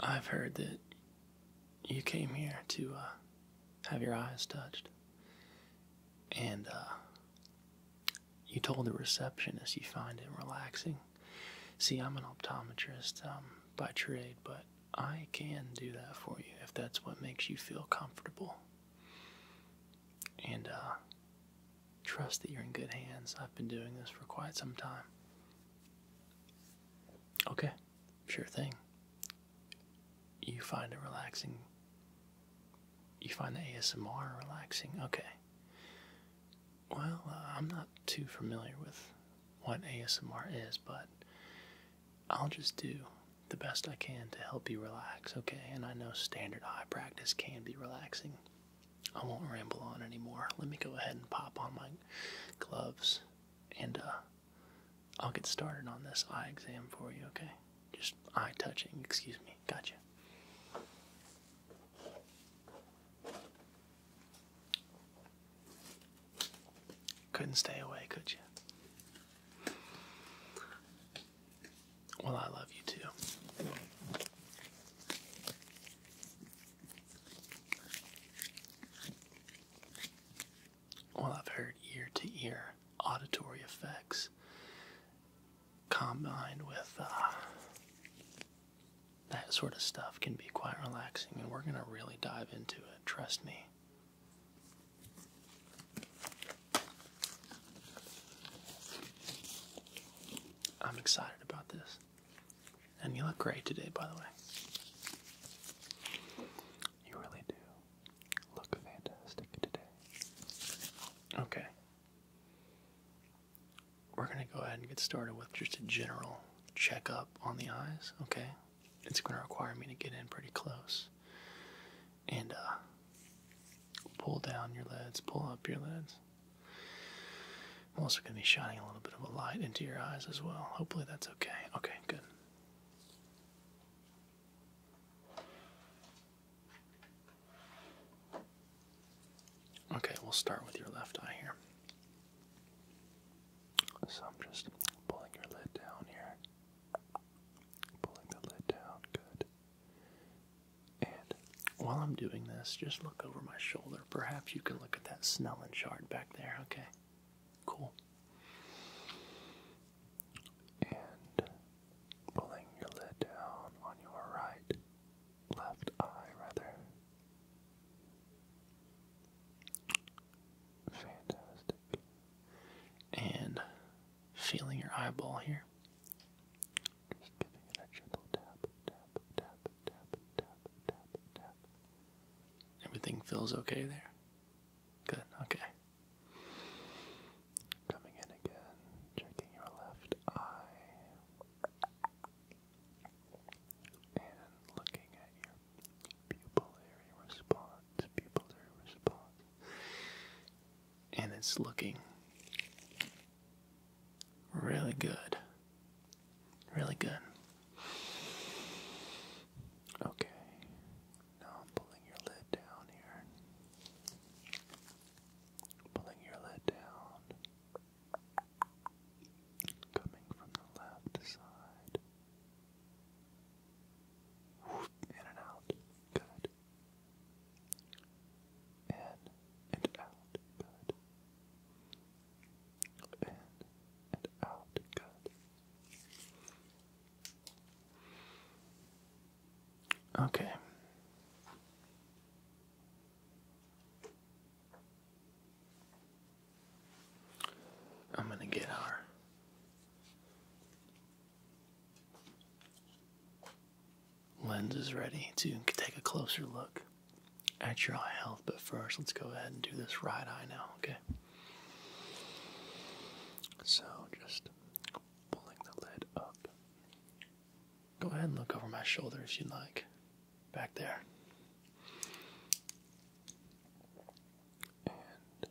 I've heard that you came here to uh, have your eyes touched. And uh, you told the receptionist you find it relaxing. See, I'm an optometrist um, by trade, but I can do that for you if that's what makes you feel comfortable. And uh, trust that you're in good hands. I've been doing this for quite some time. Okay, sure thing. You find it relaxing. You find the ASMR relaxing. Okay. Well, uh, I'm not too familiar with what ASMR is, but I'll just do the best I can to help you relax, okay? And I know standard eye practice can be relaxing. I won't ramble on anymore. Let me go ahead and pop on my gloves, and uh, I'll get started on this eye exam for you, okay? Just eye touching, excuse me. Gotcha. Couldn't stay away, could you? Well, I love you too. Well, I've heard ear to ear auditory effects combined with uh, that sort of stuff can be quite relaxing, and we're going to really dive into it, trust me. I'm excited about this. And you look great today, by the way. You really do look fantastic today. Okay. We're going to go ahead and get started with just a general checkup on the eyes, okay? It's going to require me to get in pretty close and uh, pull down your lids, pull up your lids. I'm also going to be shining a little bit of a light into your eyes as well. Hopefully that's okay. Okay, good. Okay, we'll start with your left eye here. So I'm just pulling your lid down here. Pulling the lid down, good. And while I'm doing this, just look over my shoulder. Perhaps you can look at that Snellen chart back there. Okay, cool. And pulling your lid down on your right, left eye rather. Fantastic. And feeling your eyeball here. Just giving it a gentle tap, tap, tap, tap, tap, tap, tap. Everything feels okay there? Good, okay. Coming in again, checking your left eye. And looking at your pupillary response, pupillary response. And it's looking really good. Really good. Okay. Now I'm pulling your lid down here. Pulling your lid down. Coming from the left side. in and out. Good. In and out. Good. In and out. Good. Okay. I'm going to get our lenses ready to take a closer look at your eye health. But first, let's go ahead and do this right eye now, okay? So just pulling the lid up. Go ahead and look over my shoulder if you'd like. Back there. And good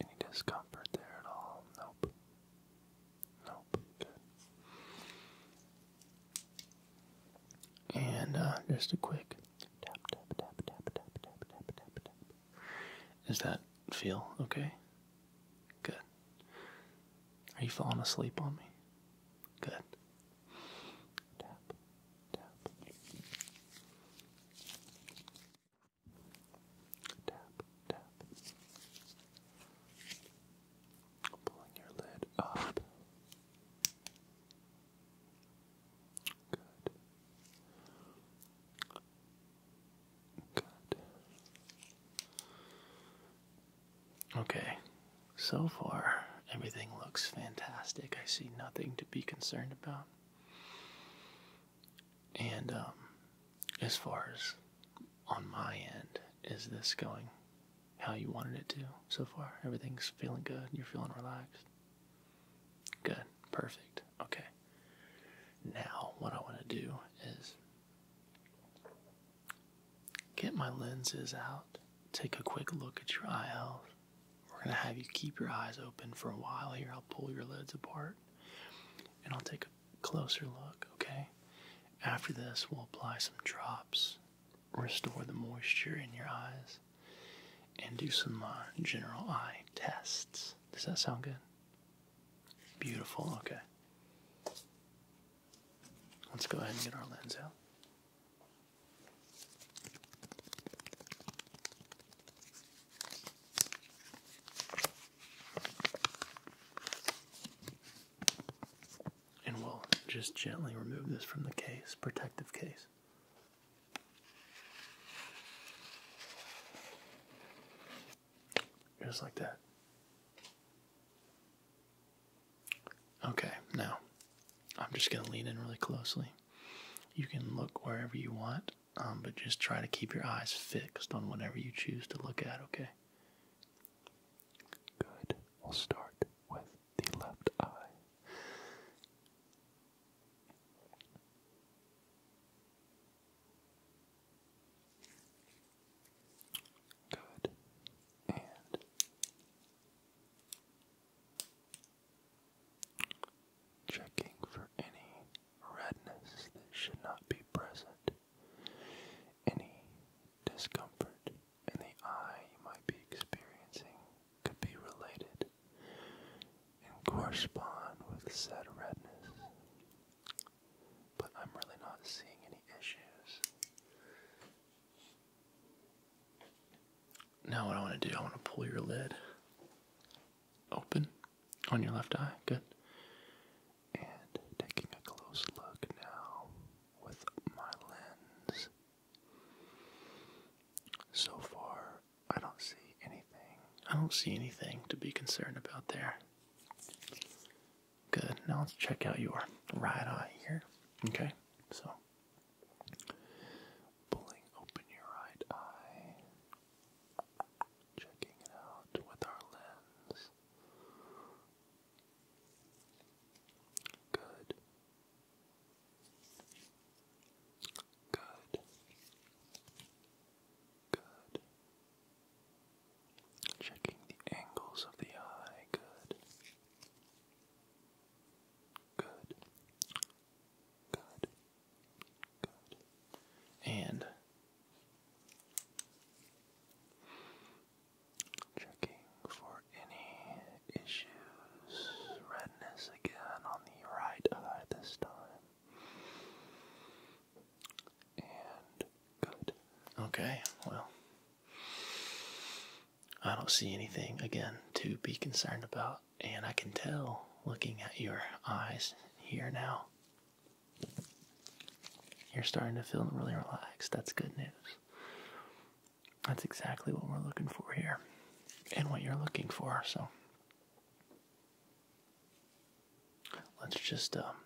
Any discomfort there at all? Nope. Nope. Good. And uh, just a quick tap, tap, tap, tap, tap, tap, tap, tap, tap. Does that feel okay? Good. Are you falling asleep on me? Good. Tap, tap. Tap, tap. Pulling your lid up. Good. Good. Okay, so far everything looks fantastic. I see nothing to be concerned about. And um, as far as on my end, is this going how you wanted it to so far? Everything's feeling good. You're feeling relaxed. Good. Perfect. Okay. Now, what I want to do is get my lenses out, take a quick look at your eye health, we're going to have you keep your eyes open for a while here. I'll pull your lids apart and I'll take a closer look, okay? After this, we'll apply some drops, restore the moisture in your eyes, and do some uh, general eye tests. Does that sound good? Beautiful, okay. Let's go ahead and get our lens out. And we'll just gently remove this from the case, protective case. Just like that. Okay, now I'm just going to lean in really closely. You can look wherever you want. Um, but just try to keep your eyes fixed on whatever you choose to look at, okay? Good. We'll start with the left eye. Good. Checking for any redness that should not be present, any discomfort in the eye you might be experiencing could be related and correspond with said redness. But I'm really not seeing any issues. Now, what I want to do, I want to pull your lid open on your left eye. Good. And taking a close look now with my lens. So far, I don't see anything. I don't see anything to be concerned about there. Good. Now let's check out your right eye here. Okay. So Pulling open your right eye, checking it out with our lens. Good. Good. Good. Checking the angles of the eye. Good. Good. Good. And checking for any issues, redness again on the right eye this time. And good. Okay, well, I don't see anything again to be concerned about and I can tell looking at your eyes here now. You're starting to feel really relaxed. That's good news. That's exactly what we're looking for here and what you're looking for. So let's just um,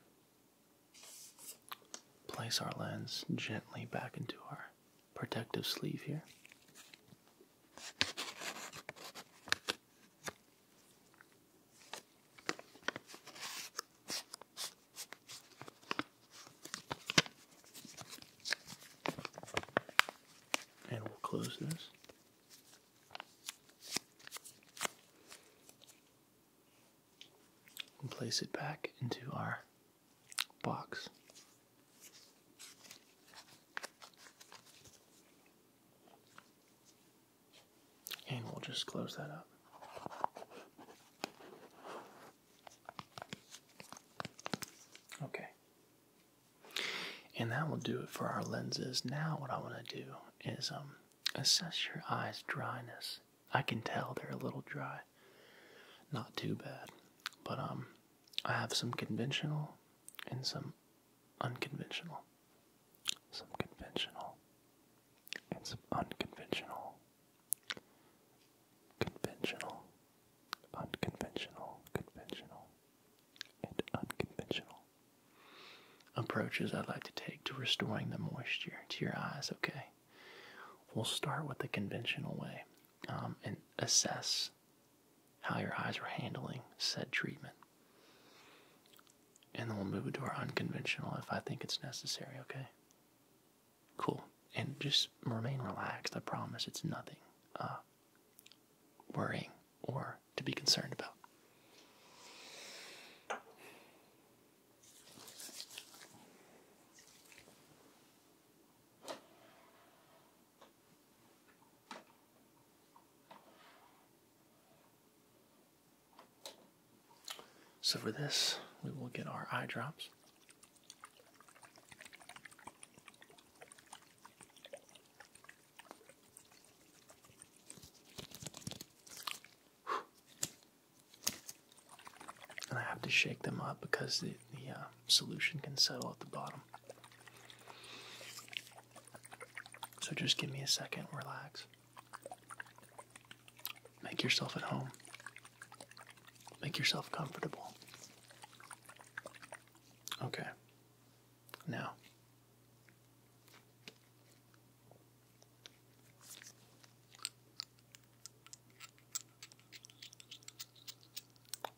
place our lens gently back into our protective sleeve here. And we'll close this. And place it back into our box. And we'll just close that up. Okay. And that will do it for our lenses. Now, what I want to do is um, assess your eyes' dryness. I can tell they're a little dry. Not too bad. But um, I have some conventional and some unconventional, some conventional, and some unconventional, conventional, unconventional, conventional, and unconventional approaches I'd like to take to restoring the moisture to your eyes, okay? We'll start with the conventional way um, and assess how your eyes were handling said treatment. And then we'll move into our unconventional if I think it's necessary, okay? Cool. And just remain relaxed. I promise it's nothing uh, worrying or to be concerned about. So for this, we will get our eye drops. And I have to shake them up because the, the uh, solution can settle at the bottom. So just give me a second, relax. Make yourself at home. Make yourself comfortable. Okay. Now.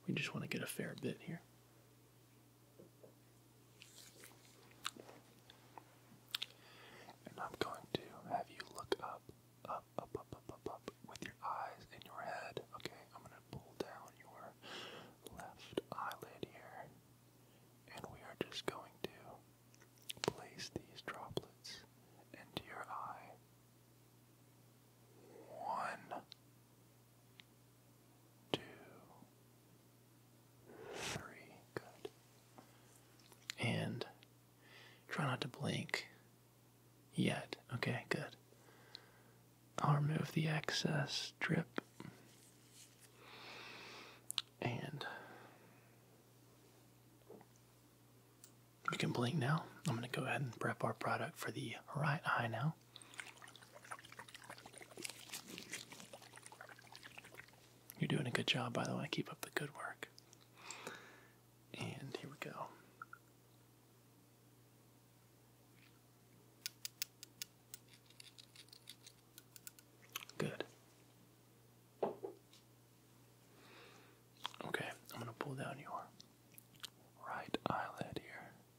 We just want to get a fair bit here. And I'm going to have you look up, up, up, up, up, up, with your eyes in your head. Okay, I'm going to pull down your left eyelid here. And we are just going to place these droplets into your eye. One, two, three. Good. And try not to blink yet. Okay, good. I'll remove the excess drip. And you can blink now. I'm going to go ahead and prep our product for the right eye now. You're doing a good job, by the way. Keep up the good work. And here we go. Good. Okay, I'm going to pull down your right eyelid here.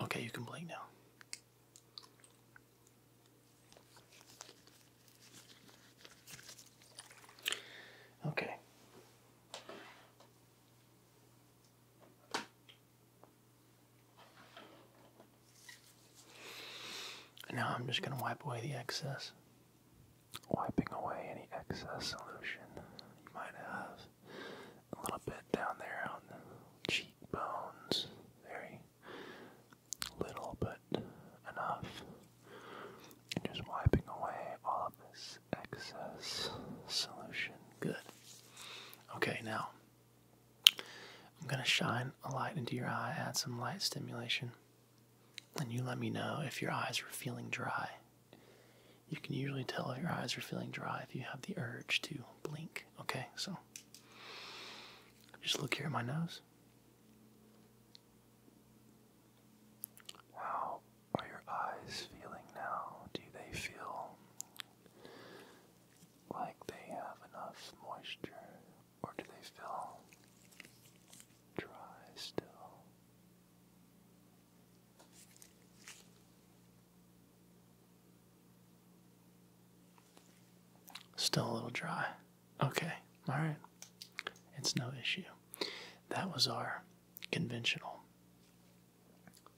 Okay, you can blink now. Okay. now I'm just going to wipe away the excess. Wiping away any excess solution you might have a little bit down there on the cheekbones. Very little, but enough. just wiping away all of this excess solution. Good. Okay, now I'm going to shine a light into your eye, add some light stimulation, and you let me know if your eyes are feeling dry you can usually tell if your eyes are feeling dry if you have the urge to blink. Okay, so just look here at my nose. How are your eyes feeling now? Do they feel like they have enough moisture or do they feel dry still? Still a little dry. Okay, all right. It's no issue. That was our conventional,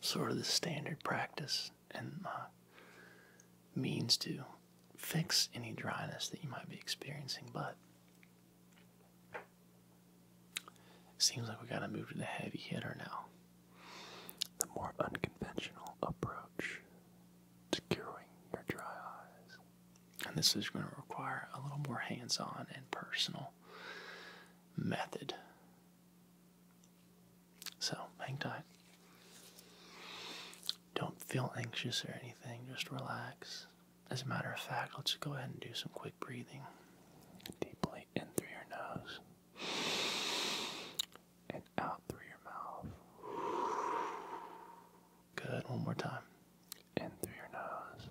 sort of the standard practice and uh, means to fix any dryness that you might be experiencing. But seems like we got to move to the heavy hitter now. The more unconventional approach to curing your dry eyes. And this is going to require a little more hands on and personal method. So hang tight. Don't feel anxious or anything, just relax. As a matter of fact, let's go ahead and do some quick breathing deeply in through your nose and out through your mouth. Good. One more time. In through your nose.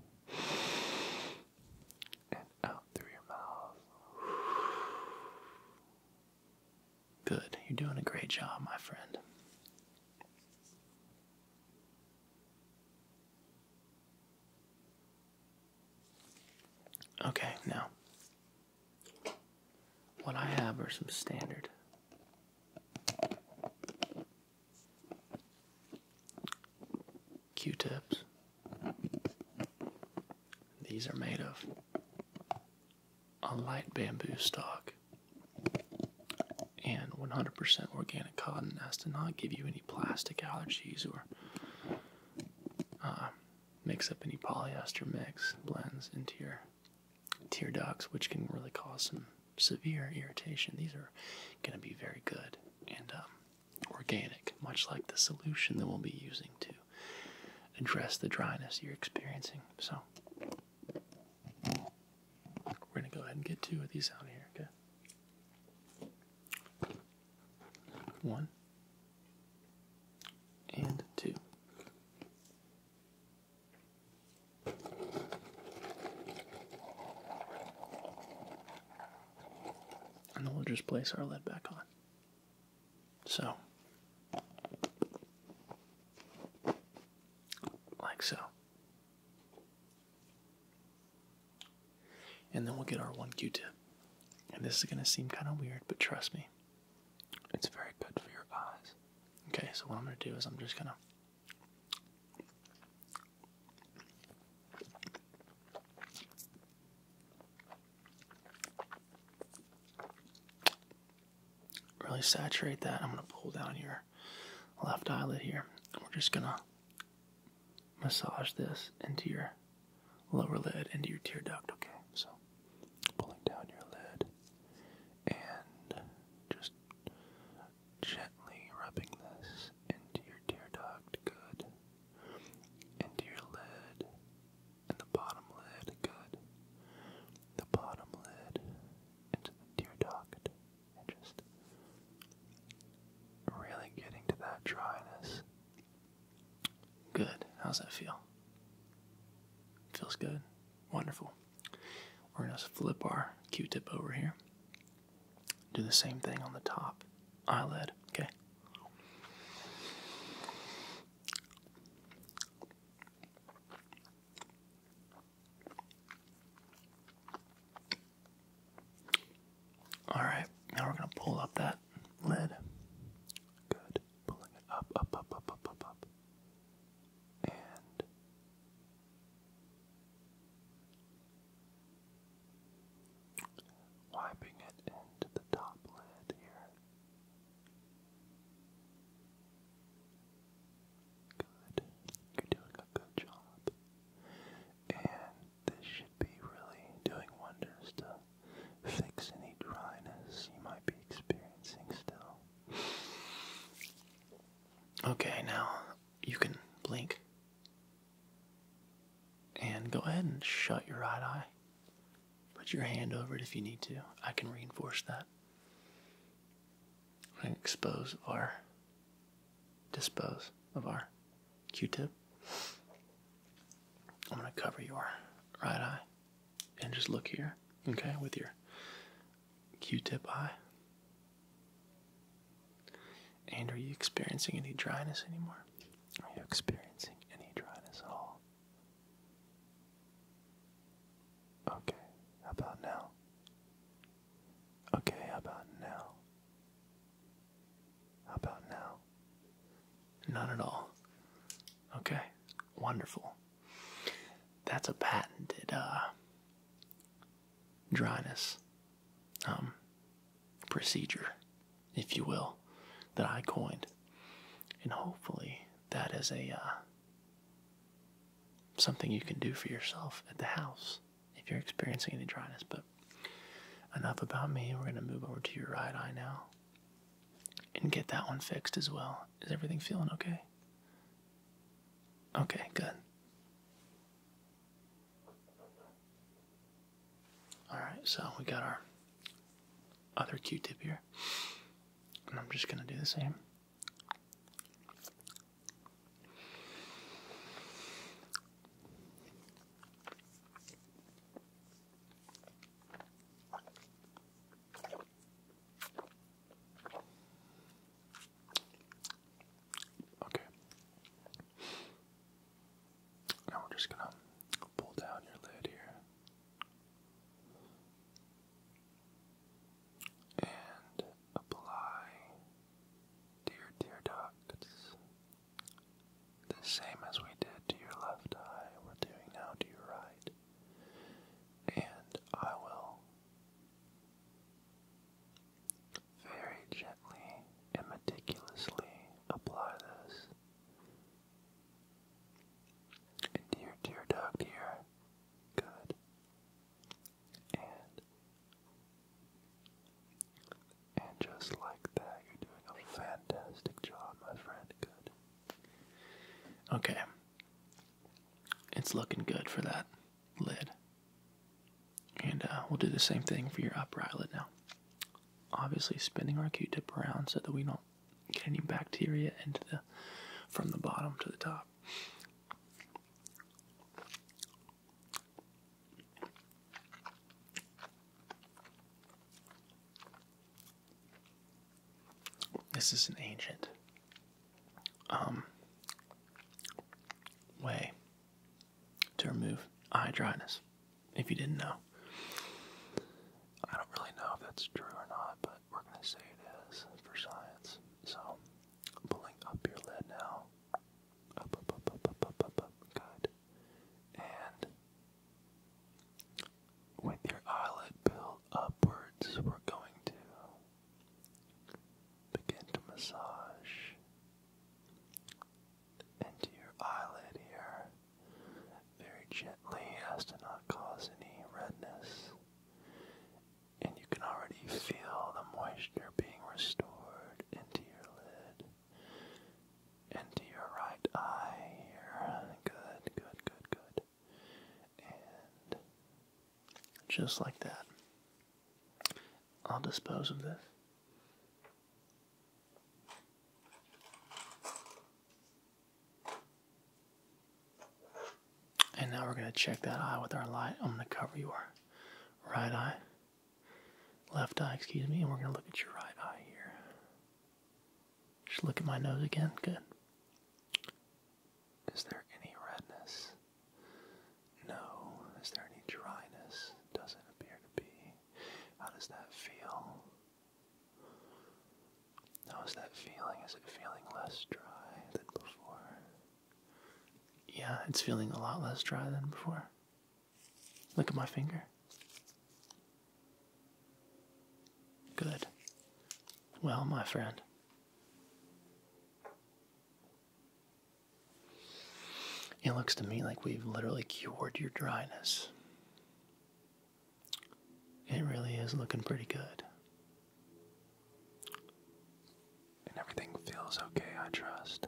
And out through your mouth. Good. You're doing a great job, my friend. Okay, now what I have are some standard Q-tips. These are made of a light bamboo stock and 100% organic cotton as to not give you any plastic allergies or uh, mix up any polyester mix blends into your tear ducts, which can really cause some severe irritation. These are going to be very good and um, organic, much like the solution that we'll be using to address the dryness you're experiencing. So, we're going to go ahead and get two of these out here, okay? One and two. And then we'll just place our lead back on. So, like so and then we'll get our one Q-tip. And this is going to seem kind of weird, but trust me, it's very good for your eyes. Okay, so what I'm going to do is I'm just going to. Really saturate that. I'm going to pull down your left eyelid here. And we're just going to massage this into your lower lid, into your tear duct, okay? So, pulling down your lid and just gently rubbing this into your tear duct, good. Into your lid, and the bottom lid, good. The bottom lid into the tear duct, and just really getting to that dryness Good. How's that feel? Feels good. Wonderful. We're going to flip our q tip over here. Do the same thing on the top eyelid, okay? Alright, now we're gonna pull up that lid. Good. Pulling it up, up, up, up, up, up, up. And wiping it into the top lid here. Good. You're doing a good job. And this should be really doing wonders to fix any dryness you might be experiencing still. Okay, now you can blink. And go ahead and shut your right eye. Put your hand over it if you need to. I can reinforce that. I expose of our dispose of our Q-tip. I'm going to cover your right eye and just look here, okay, with your Q-tip eye. And are you experiencing any dryness anymore? Are you experiencing any dryness at all? Okay, how about now? Okay, how about now? How about now? None at all. Okay, wonderful. That's a patented uh, dryness um, procedure, if you will, that I coined, and hopefully that is a uh, something you can do for yourself at the house if you're experiencing any dryness. But enough about me. We're going to move over to your right eye now and get that one fixed as well. Is everything feeling okay? Okay, good. Alright, so we got our other Q tip here. And I'm just going to do the same. Okay. Now we're just gonna pull down your lid here. And apply to your tear the same as we did to your left eye, we're doing now to your right. And I will very gently and meticulously apply this into your tear duct here. Good. And and just like that, you're doing a fantastic job, my friend. Good. Okay. It's looking good for that lid. And uh, we'll do the same thing for your upper eyelid now. Obviously, spinning our Q-tip around so that we don't get any bacteria into the from the bottom to the top. This is an ancient um, way to remove eye dryness. If you didn't know, I don't really know if that's true or not, but we're going to say it is for science. So pulling up your lid now. Good. And with your eyelid built upwards, we're going to begin to massage into your eyelid here very gently as to not cause any redness. And you can already feel the moisture being restored into your lid into your right eye here. Good, good, good, good. And just like that, I'll dispose of this. And now we're going to check that eye with our light. I'm going to cover your right eye left eye, excuse me, and we're going to look at your right eye here. Just look at my nose again. Good. Is there any redness? No. Is there any dryness? Doesn't appear to be. How does that feel? How is that feeling? Is it feeling less dry than before? Yeah, it's feeling a lot less dry than before. Look at my finger. Good. Well, my friend. It looks to me like we've literally cured your dryness. It really is looking pretty good. And everything feels okay, I trust.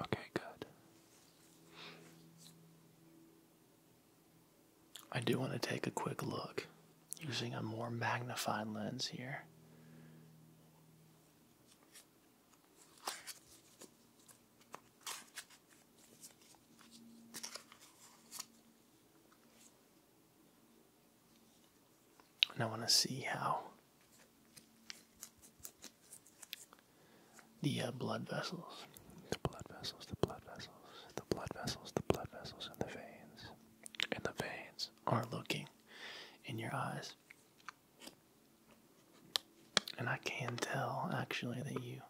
Okay, good. I do want to take a quick look using a more magnified lens here. And I want to see how the uh, blood vessels. The blood vessels, the blood vessels, the blood vessels, the blood vessels in the veins. And the veins are looking in your eyes. And I can tell actually that you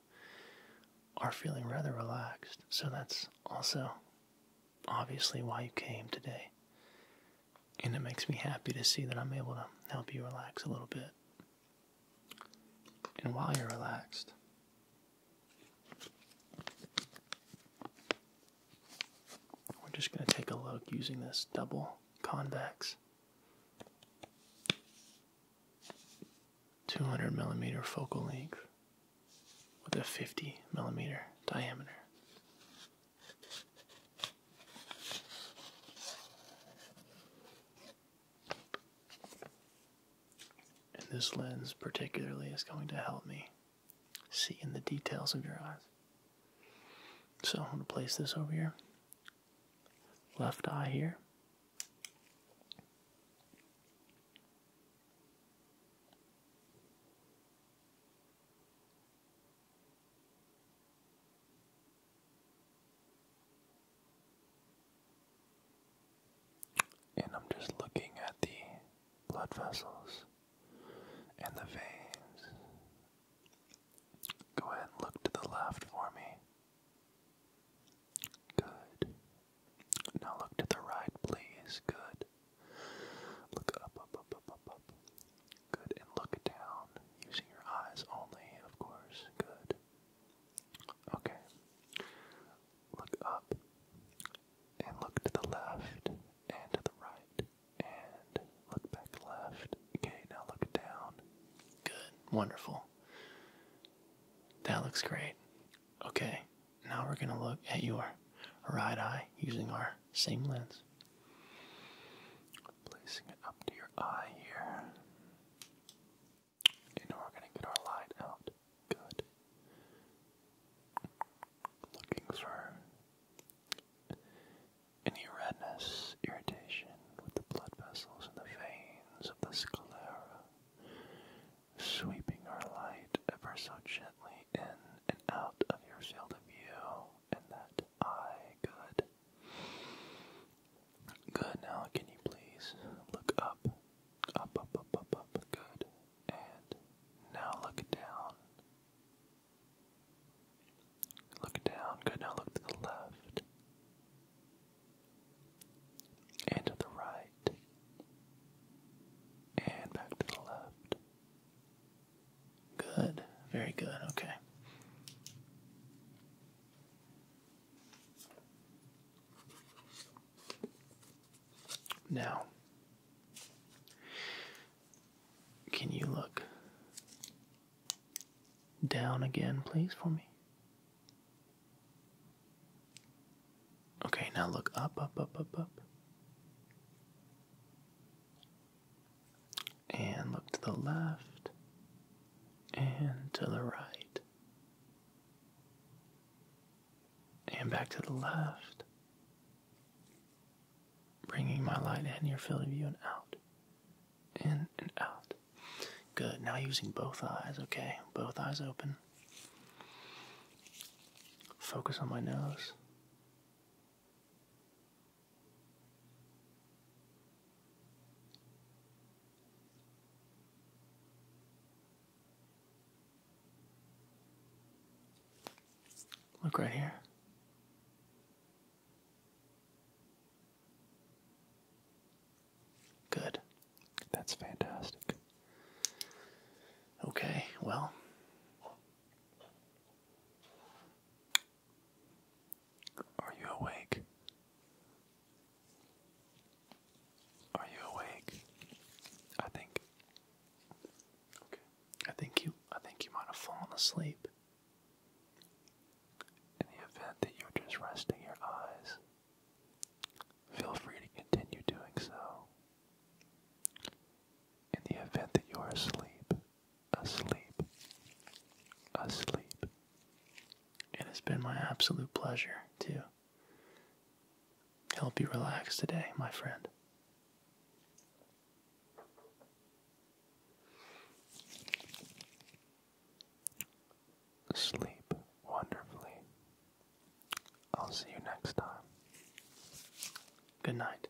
are feeling rather relaxed. So that's also obviously why you came today and it makes me happy to see that I'm able to help you relax a little bit. And while you're relaxed, we're just going to take a look using this double convex 200 millimeter focal length with a 50 millimeter diameter. And this lens, particularly, is going to help me see in the details of your eyes. So I'm going to place this over here. Left eye here. And I'm just looking at the blood vessels and the veins. Go ahead and look to the left for me. Good. Now look to the right, please. Good. Look up, Good, and look down using your eyes only, of course. Good. Okay. Look up and look to the left and to the right and look back left. Okay, now look down. Good, wonderful. That looks great. Okay, now we're going to look at your right eye using our same lens placing it up to your eye here. And we to get our light out. Good. Looking for any redness, irritation with the blood vessels and the veins of the sclera, sweeping our light ever so gently in and out of your field of view and that eye. Good. Good. Now, can you please look up? Up, up, up, up, up. Good. And now look down. Look down. Good. Now look to the left. And to the right. And back to the left. Good. Very good. Okay. Now, can you look down again, please, for me? Okay, now look up, up, up, up, up. And look to the left and to the right. And back to the left. Bringing my light in your field of view and out. In and out. Good. Now using both eyes, okay? Both eyes open. Focus on my nose. Look right here. Good. That's fantastic. Okay, well, are you awake? Are you awake? I think Okay. I think you I think you might have fallen asleep. In the event that you're just resting your eyes, feel free to continue doing so. In the event that you are asleep, asleep, asleep. It has been my absolute pleasure to help you relax today, my friend. Sleep wonderfully. I'll see you next time. Good night.